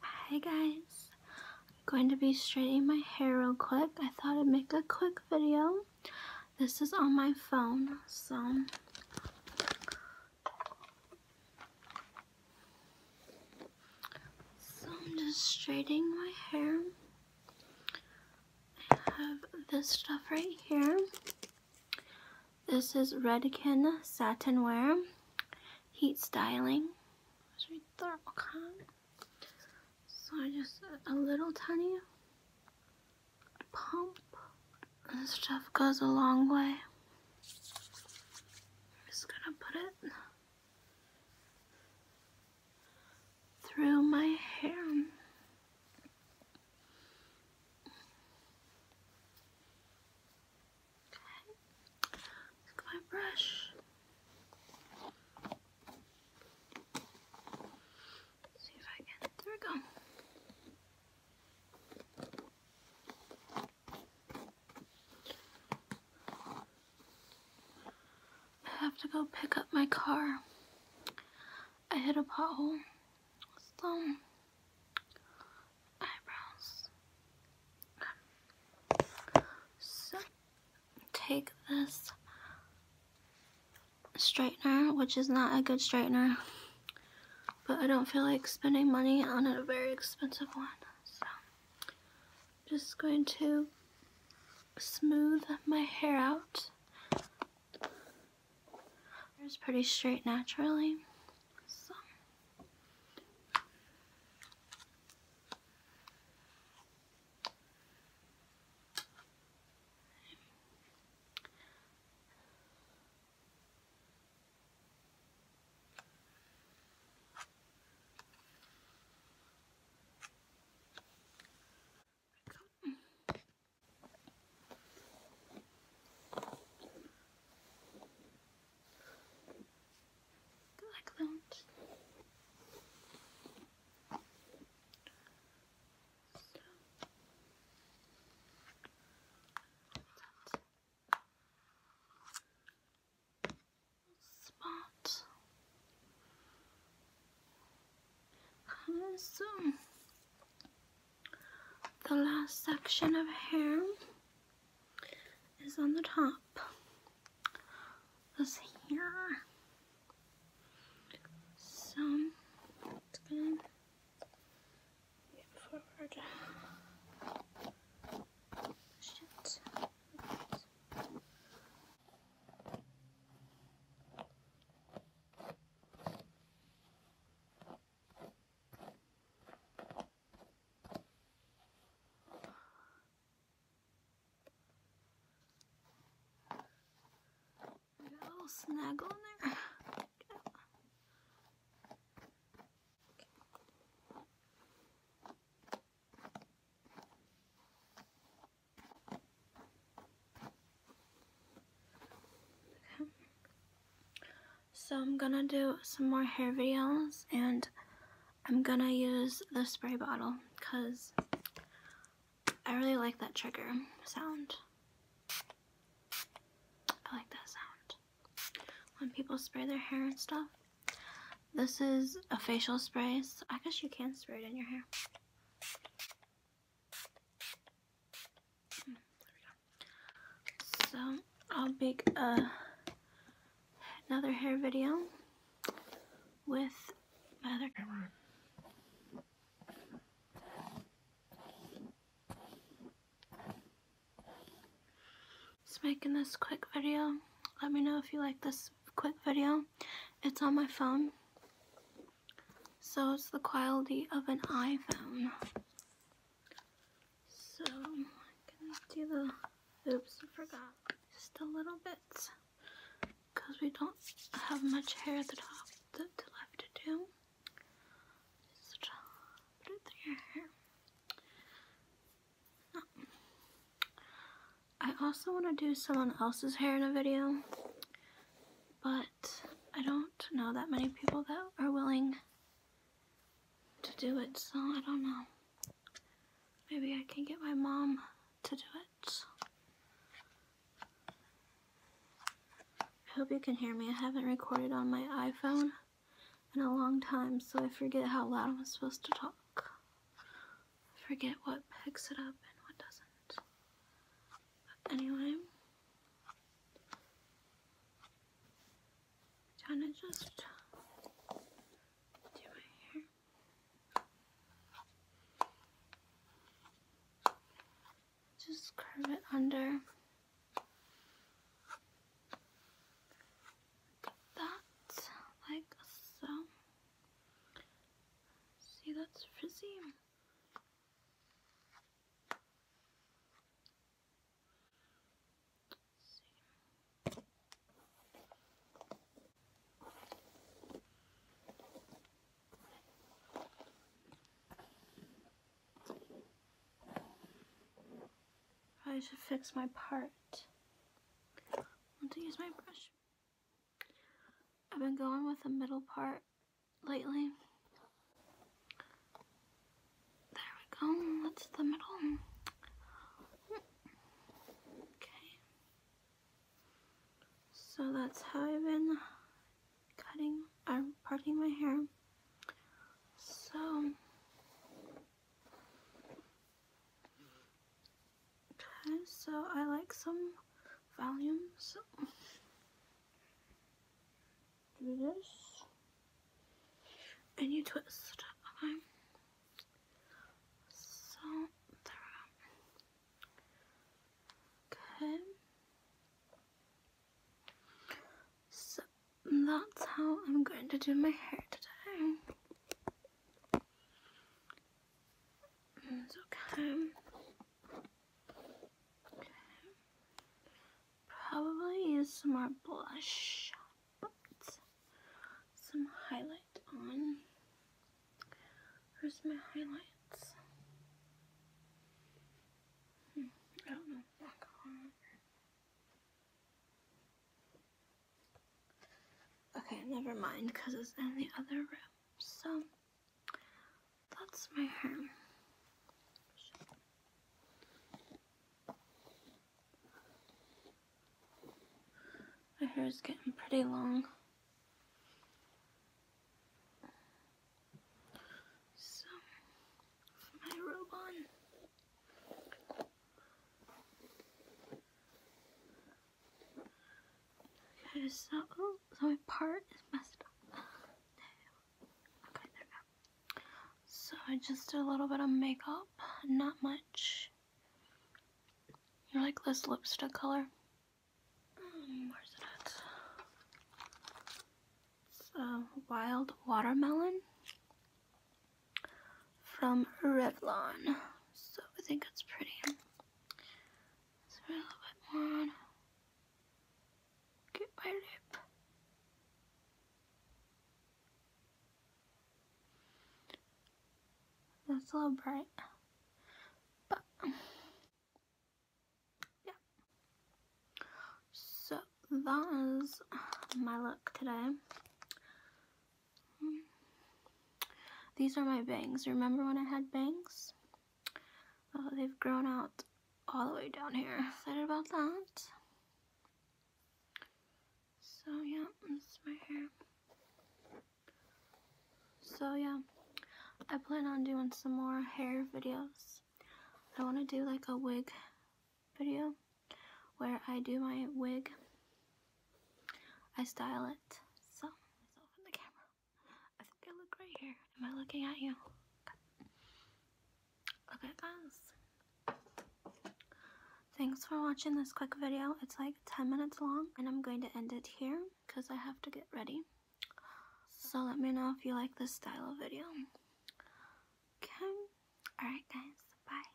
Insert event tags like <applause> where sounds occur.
Hi guys, I'm going to be straightening my hair real quick. I thought I'd make a quick video. This is on my phone, so. I'm just straightening my hair. I have this stuff right here. This is Redken Satin Wear Heat Styling. So I just a little tiny pump. This stuff goes a long way. I'm just gonna put it through my hair. Okay. my brush. see if I can. There we go. I have to go pick up my car. I hit a pothole so take this straightener, which is not a good straightener, but I don't feel like spending money on a very expensive one. So I'm just going to smooth my hair out it's pretty straight naturally like that. So. That. The last section of hair is on the top. This here. So Got a little snag on there. So I'm gonna do some more hair videos and I'm gonna use the spray bottle because I really like that trigger sound. I like that sound. When people spray their hair and stuff. This is a facial spray. So I guess you can spray it in your hair. So I'll make another hair video with another camera. Just making this quick video. Let me know if you like this quick video. It's on my phone. So it's the quality of an iPhone. So I'm gonna do the oops, I forgot just a little bit because we don't have much hair at the top to, left to do. Just put it through your hair. I also want to do someone else's hair in a video but I don't know that many people that are willing to do it, so I don't know. Maybe I can get my mom to do it. I hope you can hear me. I haven't recorded on my iPhone in a long time, so I forget how loud I'm supposed to talk. I forget what picks it up and what doesn't. Anyway, trying to just do my hair. Just curve it under. That, like so. See, that's frizzy. I should fix my part. want to use my brush. I've been going with the middle part lately. There we go. That's the middle. Okay. So that's how I've been cutting I'm parting my hair. So Okay, so I like some volume, so do this and you twist, okay? So there we go. Okay. So that's how I'm going to do my hair today. It's okay. Probably use some more blush, but some highlight on. Where's my highlights? Hmm, I don't know. Okay, never mind, because it's in the other room. So that's my hair. My hair is getting pretty long. So, my robe on so, my part is messed up. <sighs> Okay, there we go. So I just did a little bit of makeup, not much. You like this lipstick color? Hmm, where's it It's a wild watermelon from Revlon. So I think it's pretty. Let's put a little bit more on. Get my lip. That's a little bright. But, yeah. So, that is my look today. These are my bangs. Remember when I had bangs? Oh, they've grown out all the way down here. Excited about that. So yeah, this is my hair. So yeah, I plan on doing some more hair videos. I want to do like a wig video where I do my wig I style it. So, myself in the camera. I think I look right here. Am I looking at you? Look at Thanks for watching this quick video. It's like 10 minutes long and I'm going to end it here because I have to get ready. So let me know if you like this style of video. Okay. Alright guys. Bye.